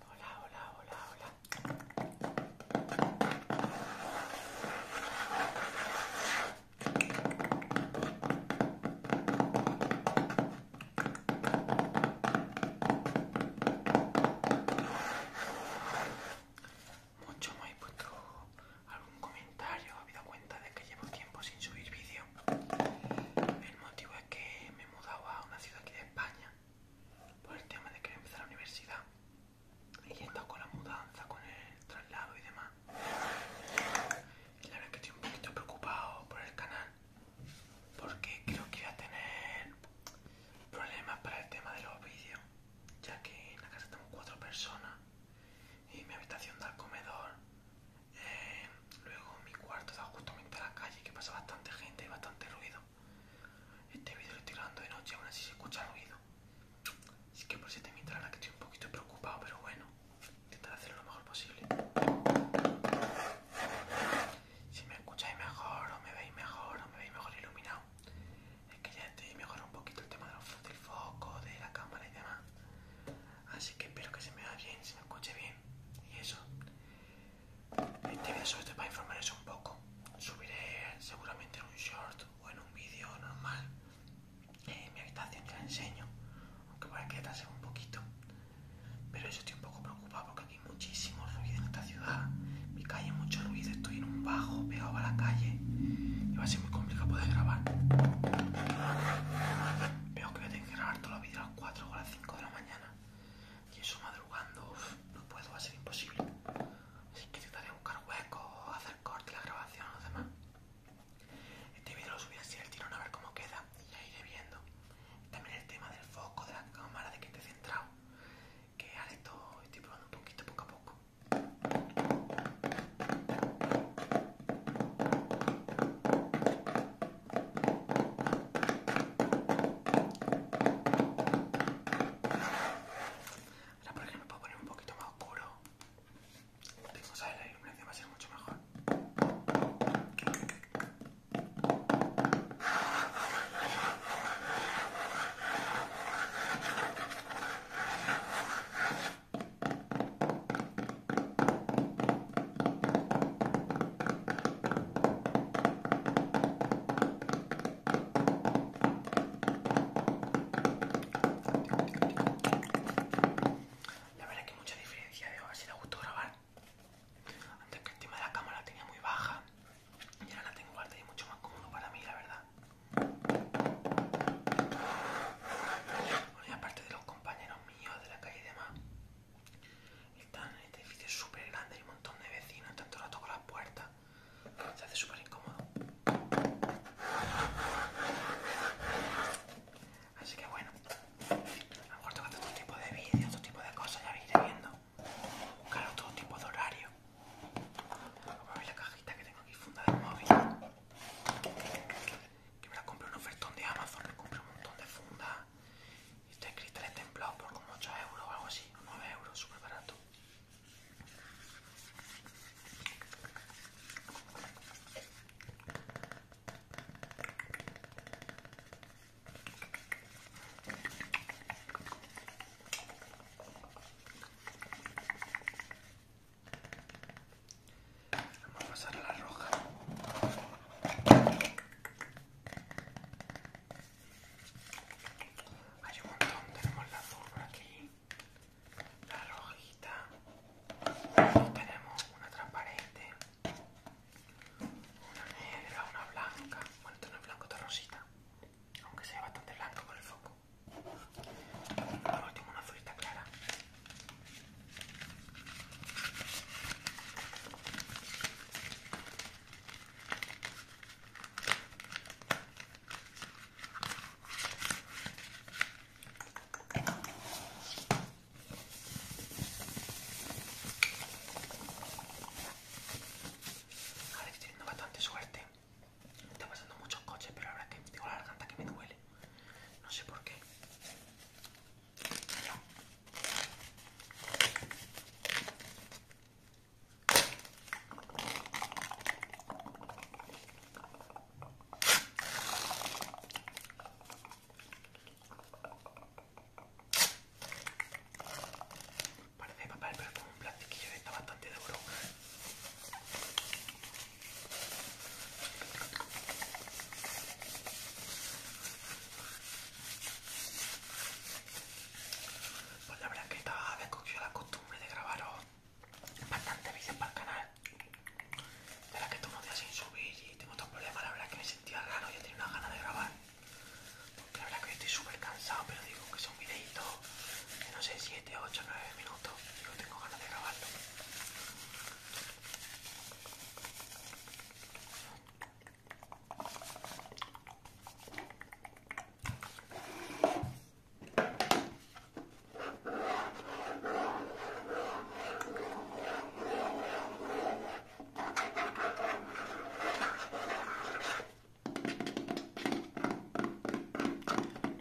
Hola, hola, hola, hola. Mucho me puesto algún comentario, he dado cuenta de que llevo tiempo sin subir vídeo. El motivo es que me he mudado a una ciudad aquí de España por el tema de que empezar la universidad y he con la mudanza, con el traslado y demás. Y la verdad que estoy un poquito preocupado por el canal porque creo que voy a tener problemas para el tema de los vídeos, ya que en la casa tengo cuatro personas y mi habitación da al comedor. Eh, Luego mi cuarto está justo a la calle que pasa bastante gente y bastante ruido. Este vídeo lo estoy grabando de noche, aún así se escucha ruido. Así que por si te a la que estoy un poquito preocupado, pero bueno, intentaré hacerlo lo mejor posible. Si me escucháis mejor o me veis mejor o me veis mejor iluminado, es que ya estoy mejor un poquito el tema del foco, de la cámara y demás. Así que espero que se me vea bien, se me escuche bien. Y eso. Este sobre es para informarles un poco. Subiré seguramente en un short o en un vídeo normal. Eh, en mi habitación que la enseño, aunque para que un poquito. Pero eso estoy un poco preocupado porque aquí hay muchísimo ruido en esta ciudad. Mi calle mucho ruido, estoy en un bajo pegado a la calle. Y va a ser muy complicado poder grabar. Veo que voy a tener que grabar todos los vídeos a las 4 o a las 5 de la mañana. Y eso madrugando, no puedo, va a ser imposible. Así que de buscar hueco, hacer corte la grabación los demás. Este vídeo lo subí así al tirón a ver cómo queda y ahí iré viendo. También el tema del foco, de la cámara, de que esté centrado. Que ahora estoy probando un poquito poco a poco. Ahora por ejemplo puedo poner un poquito más oscuro. Tengo, ¿sabes? La iluminación va a ser mucho mejor. La verdad que mucha diferencia, de a ver si le grabar. Antes que el tema de la cámara tenía muy baja y ahora la tengo alta y mucho más cómodo para mí, la verdad. y aparte de los compañeros de la calle y demás. Están en este edificio súper grande, hay un montón de vecinos, tanto rato toco las puertas. Se hace súper incómodo. Así que bueno, a lo mejor tengo tipo de vídeos, todo tipo de cosas, ya iré viendo. buscaros todo tipo de horario. Voy a la cajita que tengo aquí funda del móvil que me la compré un ofertón de Amazon, me compré un montón de funda y está en el templados por como 8 euros o algo así, 9 euros, súper barato. Vamos a pasar a la roja. Hay un montón, tenemos la azul por aquí, la rojita, tenemos una transparente, una negra, una blanca, bueno, esto no es blanco, esto es rosita, aunque sea bastante blanco con el foco. Por último, una azulita clara. Ahora estoy teniendo bastante suerte. Está pasando muchos coches, pero la verdad es que tengo la garganta que me duele. No sé por qué. Parece papel, pero es como un plastiquillo que está bastante duro. Pues la verdad que estaba vez la costumbre de grabaros bastante vídeos para el canal. De la que tomo días sin subir y tengo otros problemas, la verdad que me sentía raro y tenía unas ganas de grabar. Porque la verdad que yo estoy súper cansado, pero digo que un videito que no sé si de ocho minutos. tengo ganas de grabarlo.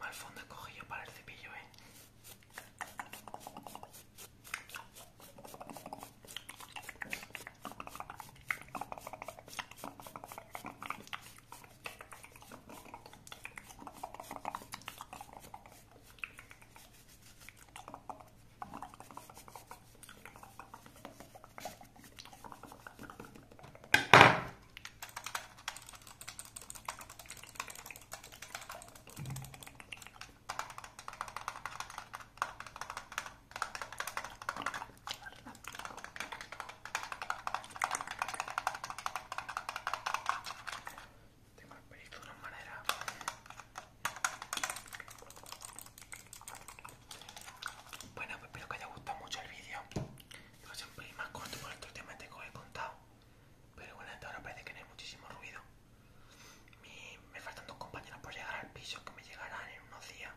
Mal fondo he cogido para el cepillo, ¿eh? Tengo el pelito de una manera. Bueno, pues espero que haya gustado mucho el vídeo. Yo siempre más corto por el tema te coge contado. Pero bueno, hasta ahora parece que no hay muchísimo ruido. me faltan dos compañeras por llegar al piso que me llegarán en unos días.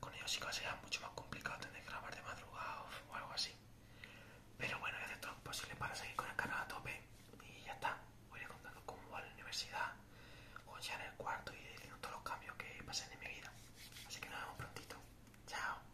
Con ellos sí que ser mucho más complicado tener que grabar de madrugada o, algo así. Pero bueno, voy a hacer todo lo posible para seguir con el canal a tope. Y ya está. Voy a ir contando cómo va la universidad, o ya en el cuarto y diciendo todos los cambios que pasen en mi vida. Así que nos vemos prontito. Chao.